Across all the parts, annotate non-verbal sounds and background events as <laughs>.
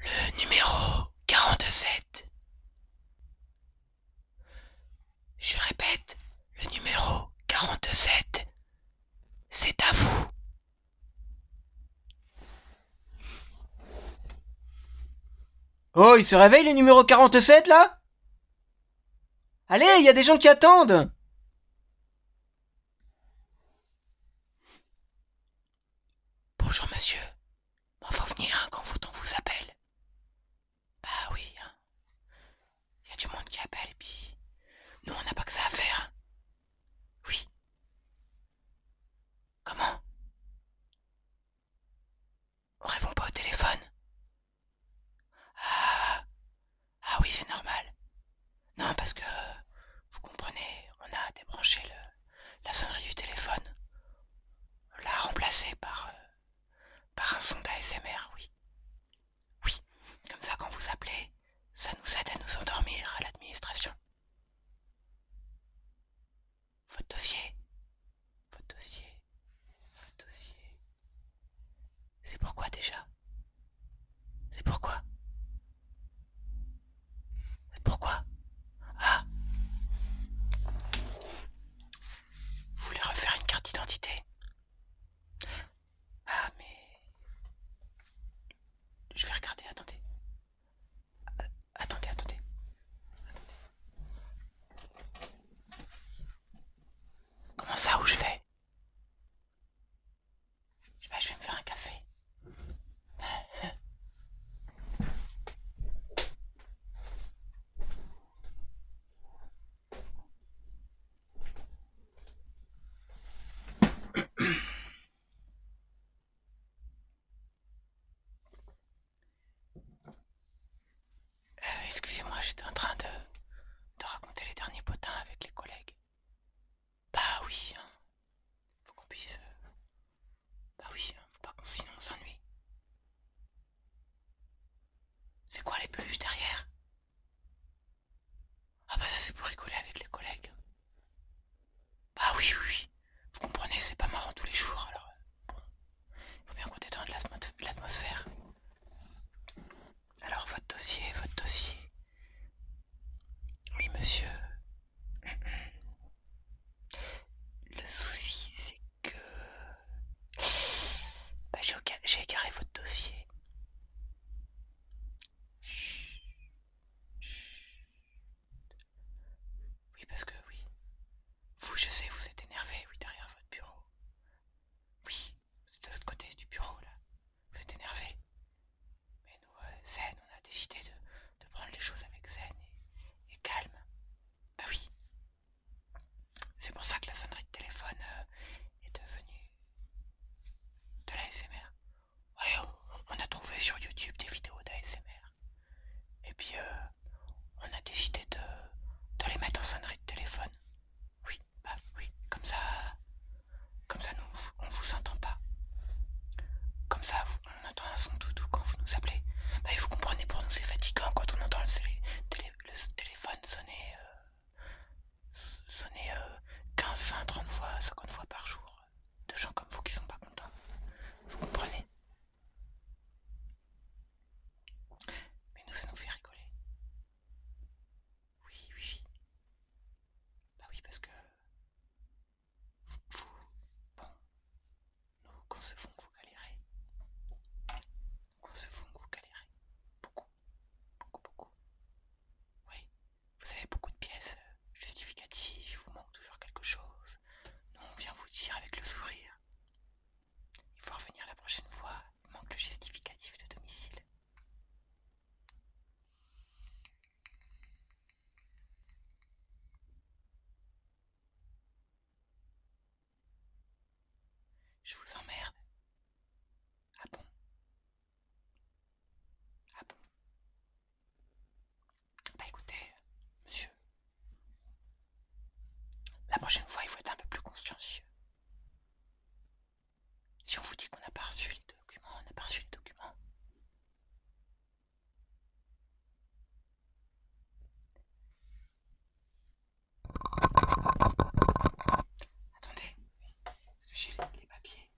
Le numéro quarante Je répète, le numéro quarante-sept. C'est à vous. Oh, il se réveille le numéro 47 là Allez, il y a des gens qui attendent Bonjour monsieur. on faut venir hein, quand vous, on vous appelle. Bah oui, hein. Y a du monde qui appelle et puis. Nous on n'a pas que ça à faire. Hein. Oui. Comment On répond pas au téléphone Ah ah oui, c'est normal. Non, parce que, vous comprenez, on a débranché le, la sonnerie du téléphone. On l'a remplacée par, euh, par un son d'ASMR, oui. Oui, comme ça quand vous appelez, ça nous aide à nous endormir à l'administration. Votre dossier Votre dossier Votre dossier C'est pourquoi déjà c'est pourquoi pourquoi Ah Vous voulez refaire une carte d'identité Ah mais... Je vais regarder, attendez. attendez, ah, attendez. Attendez. Comment ça, où je vais je, vais me faire un café. <coughs> Euh, excusez-moi, j'étais en train de raconter les derniers potins avec les collègues. Bah oui, hein. Faut qu'on puisse. Euh, bah oui, hein. Faut pas qu'on s'ennuie. C'est quoi les peluches derrière Ah bah ça c'est pour rigoler avec les collègues. Bah oui, oui, Vous comprenez, c'est pas marrant tous les jours, alors euh, bon. Il faut bien qu'on détende l'atmosphère. Alors votre dossier, votre dossier. Oui, monsieur. Le souci, c'est que... Bah, j'ai égaré votre dossier. Oui, parce que oui. Vous, je sais, vous êtes énervé, oui, derrière votre bureau. Oui. C'est de l'autre côté du bureau là. Vous êtes énervé. Mais nous, euh, Zen, on a décidé de, prendre les choses avec Zen et, calme. Bah oui. C'est pour ça que la sonnerie de téléphone euh, est devenue de l'ASMR. Ouais, on, a trouvé sur YouTube des vidéos d'ASMR. Et puis, euh, on a décidé de les mettre en sonnerie de téléphone. Oui bah oui, comme ça, comme ça nous, on vous entend pas. Comme ça, on entend un son doudou quand vous nous appelez. Bah, vous comprenez, pour nous c'est fatigant quand on entend le, téléphone sonner, euh, sonner 15, 20, 30 fois, 50 fois par jour. De gens comme vous qui sont pas contents. Vous comprenez Mais nous, ça nous fait rigoler. Oui, oui. Bah oui, parce que vous, bon, nous concevons que vous galérez. Nous concevons que vous galérez. Beaucoup, beaucoup, beaucoup. Oui, vous avez beaucoup de pièces euh, justificatives, il vous manque toujours quelque chose. Nous, on vient vous dire avec le sourire. Il faut revenir la prochaine fois, il manque le justificatif de domicile. Je vous emmerde. Ah bon Ah bon Bah écoutez, monsieur, la prochaine fois il faut être un peu plus consciencieux. Si on vous dit qu'on n'a pas reçu les documents, on n'a pas reçu les documents. Attendez, j'ai les papiers.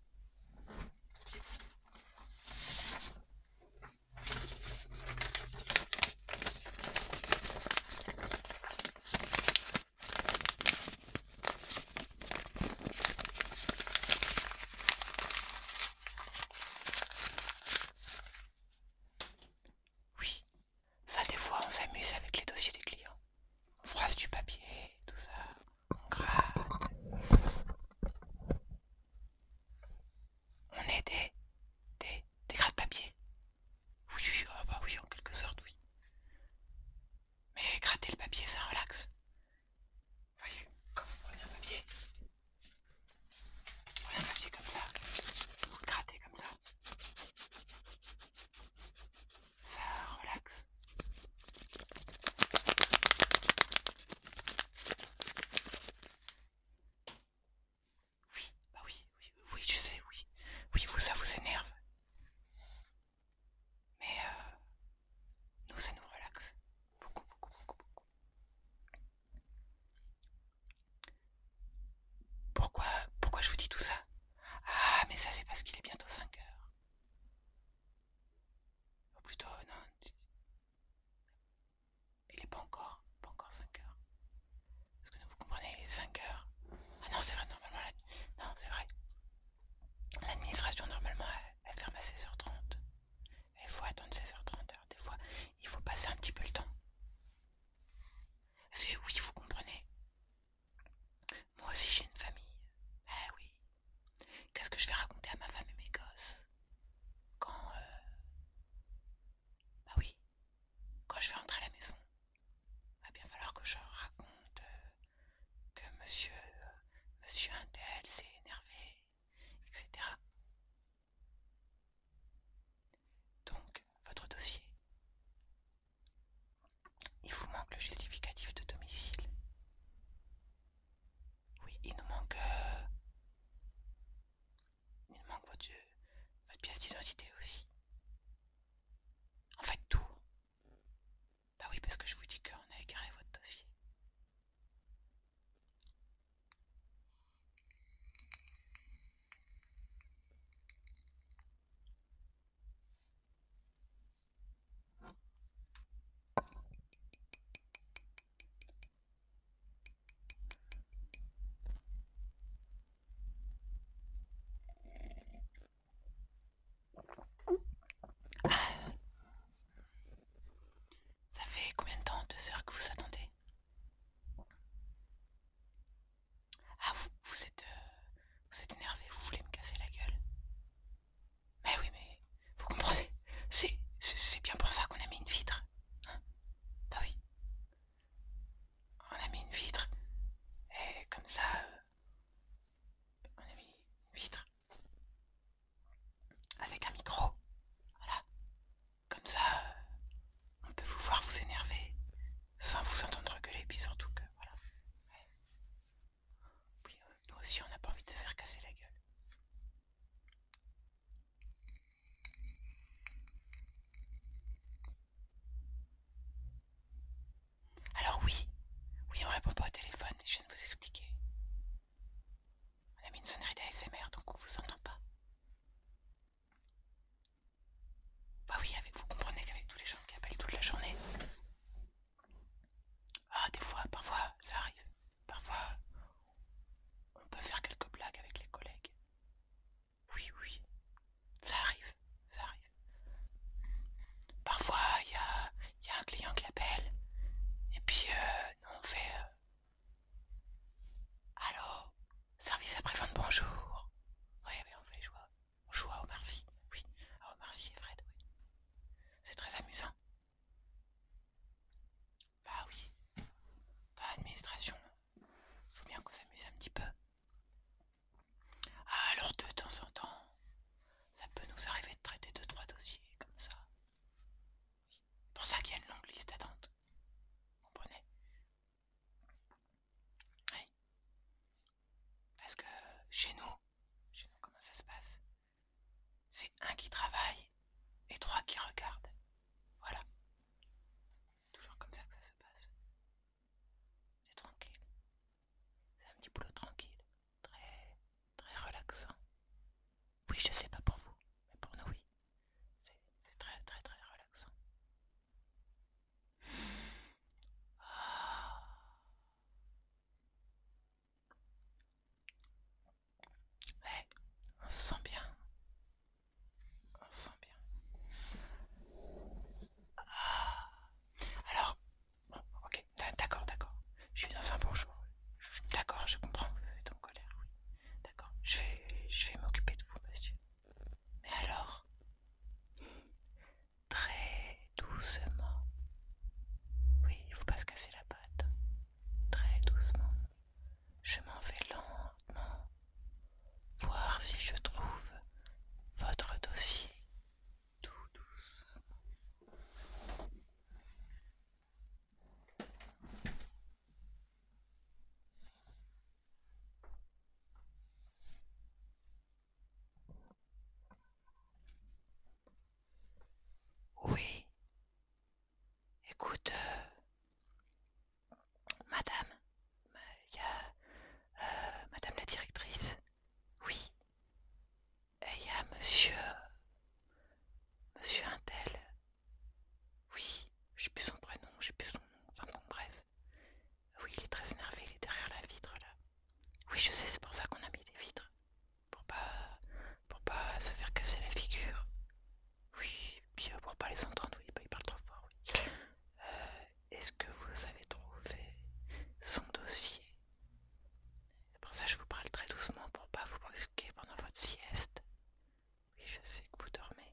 Oui, ça des fois on s'amuse avec les dossiers des clients. On froisse du papier, tout ça, on gratte. On est des, des, des de papier. Oui, oui, ah bah oui, en quelque sorte, oui. Mais gratter le papier, ça relaxe. Vous voyez, quand vous prenez un papier, vous prenez un papier comme ça, vous grattez comme ça. Ça relaxe. Oui, bah oui, oui, oui, je sais, oui. Oui, vous, ça vous énerve. Mais euh, nous, ça nous relaxe. Beaucoup, beaucoup, beaucoup, beaucoup. Pourquoi, pourquoi je vous dis tout ça Ah, mais ça, c'est parce qu'il est bientôt 5 heures. Ou oh, plutôt, non. Il n'est pas encore pas encore 5 heures. Est-ce que vous comprenez 5 heures Ah non, c'est vrai, normalement, non, c'est vrai. L'administration, normalement, elle, ferme à 16h30. Il faut attendre 16h30. des fois, il faut passer un petit peu le temps. C'est oui, vous comprenez. Moi aussi, j'ai une famille. Eh oui. Qu'est-ce que je vais raconter à ma femme et mes gosses Quand... Euh, bah oui, quand je vais rentrer à la maison, il va bien falloir que je raconte euh, que monsieur, euh, monsieur Intel s'est énervé, etc. Donc, votre dossier. Il vous manque le justificatif de domicile. Oui, il nous manque... Euh, il manque votre, pièce d'identité aussi. En fait, tout. Bah oui, parce que je vous dis qu'on a égaré votre dossier. Ah. Ça fait combien de temps Deux heures que vous attendez Ah vous, êtes euh, vous êtes énervé, vous voulez me casser la gueule Mais oui mais vous comprenez, c'est bien pour ça qu'on a mis une vitre. Hein bah oui on a mis une vitre. Et comme ça, euh, on a mis une vitre. Avec un micro. Voilà. Comme ça, euh, on peut vous voir vous énerver sans vous entendre gueuler. Puis surtout que, voilà. Euh, nous aussi, on n'a pas envie de se faire casser la gueule. Alors oui, oui, on répond pas au téléphone, je viens de vous expliquer. On a mis une sonnerie d'ASMR, donc on vous entend pas. Bah oui, vous comprenez qu'avec tous les gens qui appellent toute la journée. Ah, des fois, parfois, ça arrive. Parfois, on peut faire quelques blagues avec les collègues. Oui, oui, ça arrive, ça arrive. Parfois, il y a, un client qui appelle, et puis euh, on fait euh, Allo, service après-vente, bonjour. Oui, mais on fait, Joie, Joie, on joue oui, à et Fred, oui. C'est très amusant. Bah oui. Dans l'administration, faut bien qu'on s'amuse un petit peu. Ah, alors de temps en temps, ça peut nous arriver de traiter deux trois dossiers comme ça. C'est Pour ça qu'il y a une longue liste d'attente. Comprenez Oui. Parce que chez nous, chez nous comment ça se passe C'est un qui travaille et trois qui regardent. Voilà. Toujours comme ça que ça se passe. C'est tranquille. C'est un petit boulot tranquille. Très, très relaxant. Oui, je sais pas pour vous, mais pour nous, oui. C'est très, très, très relaxant. Ah. Ouais, on se sent bien. On se sent bien. Ah. Alors, bon, ok, d'accord, d'accord. Je suis dans un bon jour. D'accord, je comprends, vous êtes en colère, oui. D'accord, je vais, je vais m'occuper de vous, monsieur. Mais alors, très doucement. Oui, il faut pas se casser la patte. Très doucement je m'en vais lentement voir si je trouve votre dossier tout doucement. Oui, Écoute, euh, madame, il y a euh, madame la directrice, oui, et il y a monsieur, monsieur Intel, oui, j'ai plus son prénom, j'ai plus son nom, enfin bon, bref, oui, il est très énervé, il est derrière la vitre là, oui, je sais, c'est pour ça qu'on a mis des vitres, pour pas, pour pas se faire casser la figure. Oui, bien, euh, pour pas les entendre, oui, bah, il parle trop fort, oui. Euh, est-ce que vous avez trouvé son dossier C'est pour ça que je vous parle très doucement pour pas vous brusquer pendant votre sieste. Oui, je sais que vous dormez.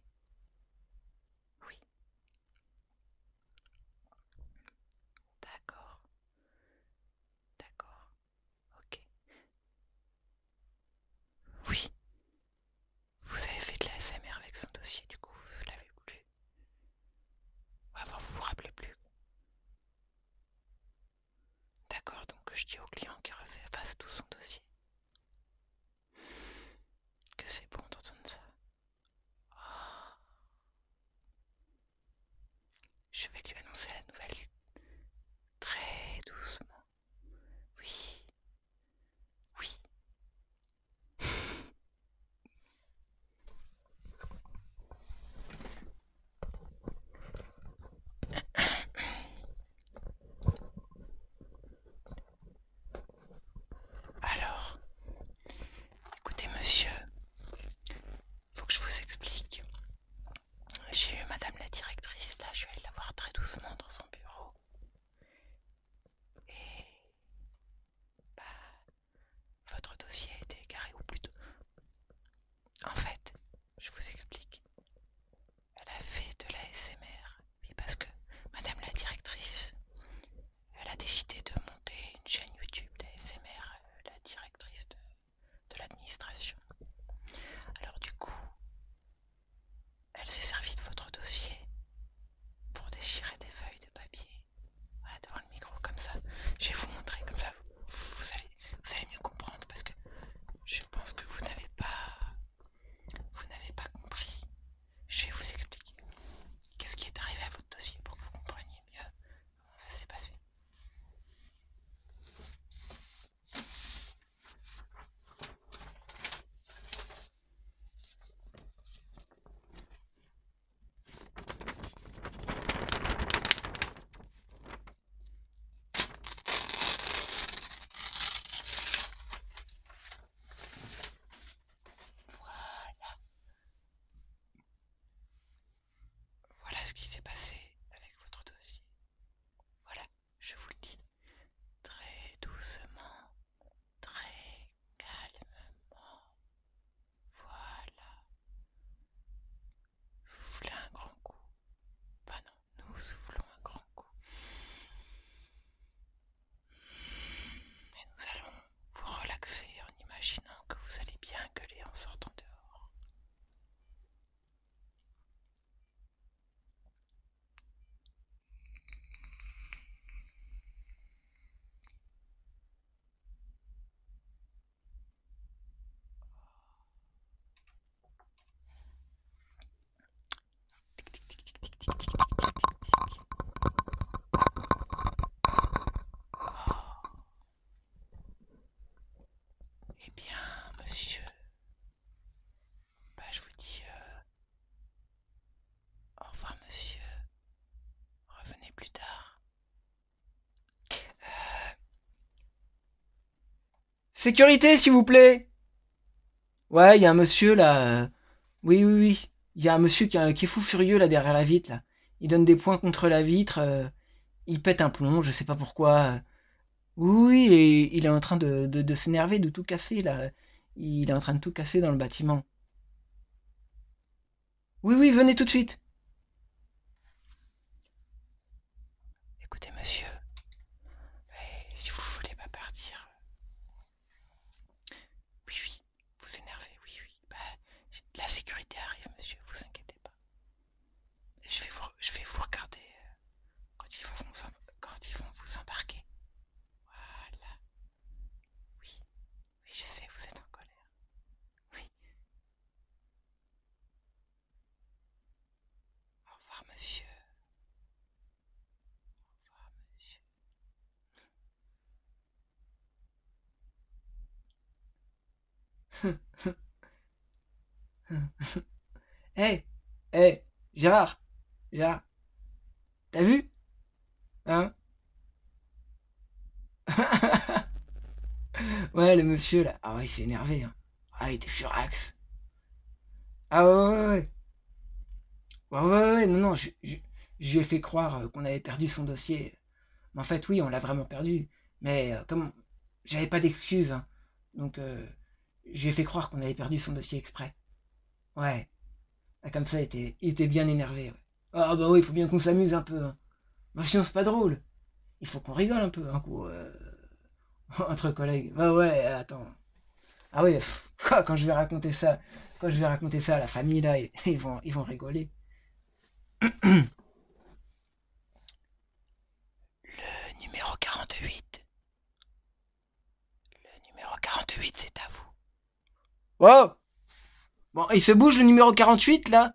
Oui. D'accord. D'accord. Ok. Oui. Vous avez fait de la SMR avec son dossier, du coup, vous l'avez plus. alors vous vous rappelez plus. D'accord, donc je dis au client qu'il refait tout son dossier. Que c'est bon d'entendre ça. Ah. Je vais lui annoncer la nouvelle très doucement. Oui. Oui. Alors, écoutez monsieur, faut que je vous explique. J'ai eu madame la directrice, là je vais la voir très doucement dans son bureau. Et bah, votre dossier a été égaré ou plutôt... En fait, je vous explique. Elle a fait de la SMR. Oui, parce que madame la directrice, elle a décidé de monter une chaîne YouTube d'ASMR, euh, la directrice de de l'administration. Alors du coup, elle s'est servie de votre dossier pour déchirer des feuilles de papier. devant le micro, comme ça. Je vais vous montrer, comme ça vous, allez, mieux comprendre parce que je pense que vous n'avez pas, vous n'avez pas compris. Je vais vous expliquer qu'est-ce qui est arrivé à votre dossier pour que vous compreniez mieux ça s'est passé. Voilà. Voilà ce qui s'est passé avec votre dossier. Voilà, je vous le dis. Très doucement, très calmement. Voilà. Soufflez un grand coup. Pas non, nous soufflons un grand coup. Et nous allons vous relaxer en imaginant que vous allez bien gueuler en sortant dehors. Eh bien, monsieur, bah, je vous dis euh, au revoir, monsieur. Revenez plus tard. Euh, sécurité, s'il vous plaît. Ouais, il y a un monsieur là. Euh, oui, oui, oui. Il y a un monsieur qui, qui est fou furieux là derrière la vitre euh, il donne des points contre la vitre, euh, il pète un plomb, je sais pas pourquoi. Oui, oui, il est en train de, s'énerver, de tout casser là. Il est en train de tout casser dans le bâtiment. Oui, oui, venez tout de suite. Écoutez, monsieur, si vous voulez pas partir. Euh, oui, oui, vous énervez, oui, oui. Bah, la sécurité arrive, monsieur, vous inquiétez pas. Je vais vous, je vais vous regarder euh, quand, ils vont quand ils vont vous embarquer. Voilà. Oui, oui, je sais, vous êtes en colère. Oui. Au revoir, monsieur. Au revoir, monsieur. Hé <laughs> Hé Gérard Gérard T'as vu Hein <laughs> Ouais, le monsieur là. Ah ouais, il s'est énervé. Hein. Ah, il était furax. Ah ouais, ouais. Ouais, ouais, ouais, non, non, j'ai fait croire euh, qu'on avait perdu son dossier. Mais en fait, oui, on l'a vraiment perdu. Mais euh, comme j'avais pas d'excuses, hein, donc euh, j'ai fait croire qu'on avait perdu son dossier exprès. Ouais. Ah, comme ça, il était, bien énervé. Ah bah oui, il faut bien qu'on s'amuse un peu. Hein. Bah c'est pas drôle. Il faut qu'on rigole un peu, un coup. <laughs> Entre collègues. Bah ouais, attends. Ah ouais, quand je vais raconter ça quand je vais raconter ça à la famille, là, <laughs> ils vont, ils vont rigoler. Le numéro 48. Le numéro 48, c'est à vous. Wow oh Bon, il se bouge le numéro 48, là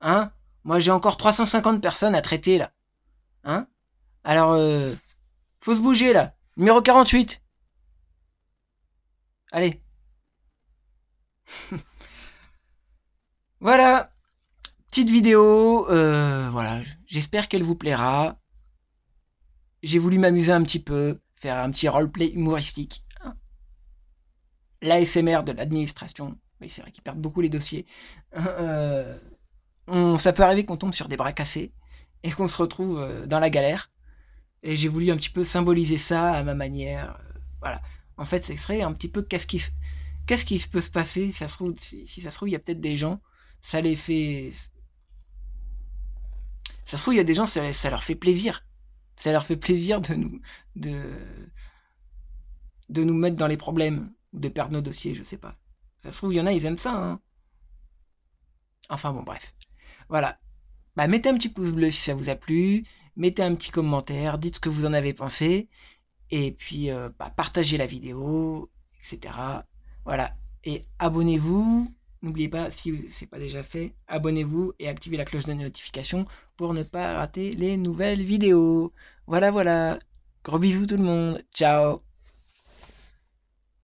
Hein Moi, j'ai encore 350 personnes à traiter, là. Hein Alors, il euh, faut se bouger, là. Numéro 48. Allez. <laughs> voilà. Petite vidéo. Euh, voilà. J'espère qu'elle vous plaira. J'ai voulu m'amuser un petit peu. Faire un petit roleplay humoristique. L'ASMR de l'administration. mais c'est vrai qu'ils perdent beaucoup les dossiers. Euh, ça peut arriver qu'on tombe sur des bras cassés et qu'on se retrouve euh, dans la galère. Et j'ai voulu un petit peu symboliser ça à ma manière. Euh, voilà. En fait, c'est serait un petit peu qu'est-ce qui, quest peut se passer si ça se trouve, il y a peut-être des gens, ça les fait. Ça se trouve, il y a des gens, ça, leur fait plaisir. Ça leur fait plaisir de nous, de, de nous mettre dans les problèmes ou de perdre nos dossiers, je sais pas. Ça se trouve, il y en a, ils aiment ça. Hein. Enfin bon, bref. Voilà. Bah, mettez un petit pouce bleu si ça vous a plu, mettez un petit commentaire, dites ce que vous en avez pensé, et puis euh, bah, partagez la vidéo, etc. Voilà. Et abonnez-vous. N'oubliez pas, si ce n'est pas déjà fait, abonnez-vous et activez la cloche de notification pour ne pas rater les nouvelles vidéos. Voilà, voilà. Gros bisous tout le monde. Ciao.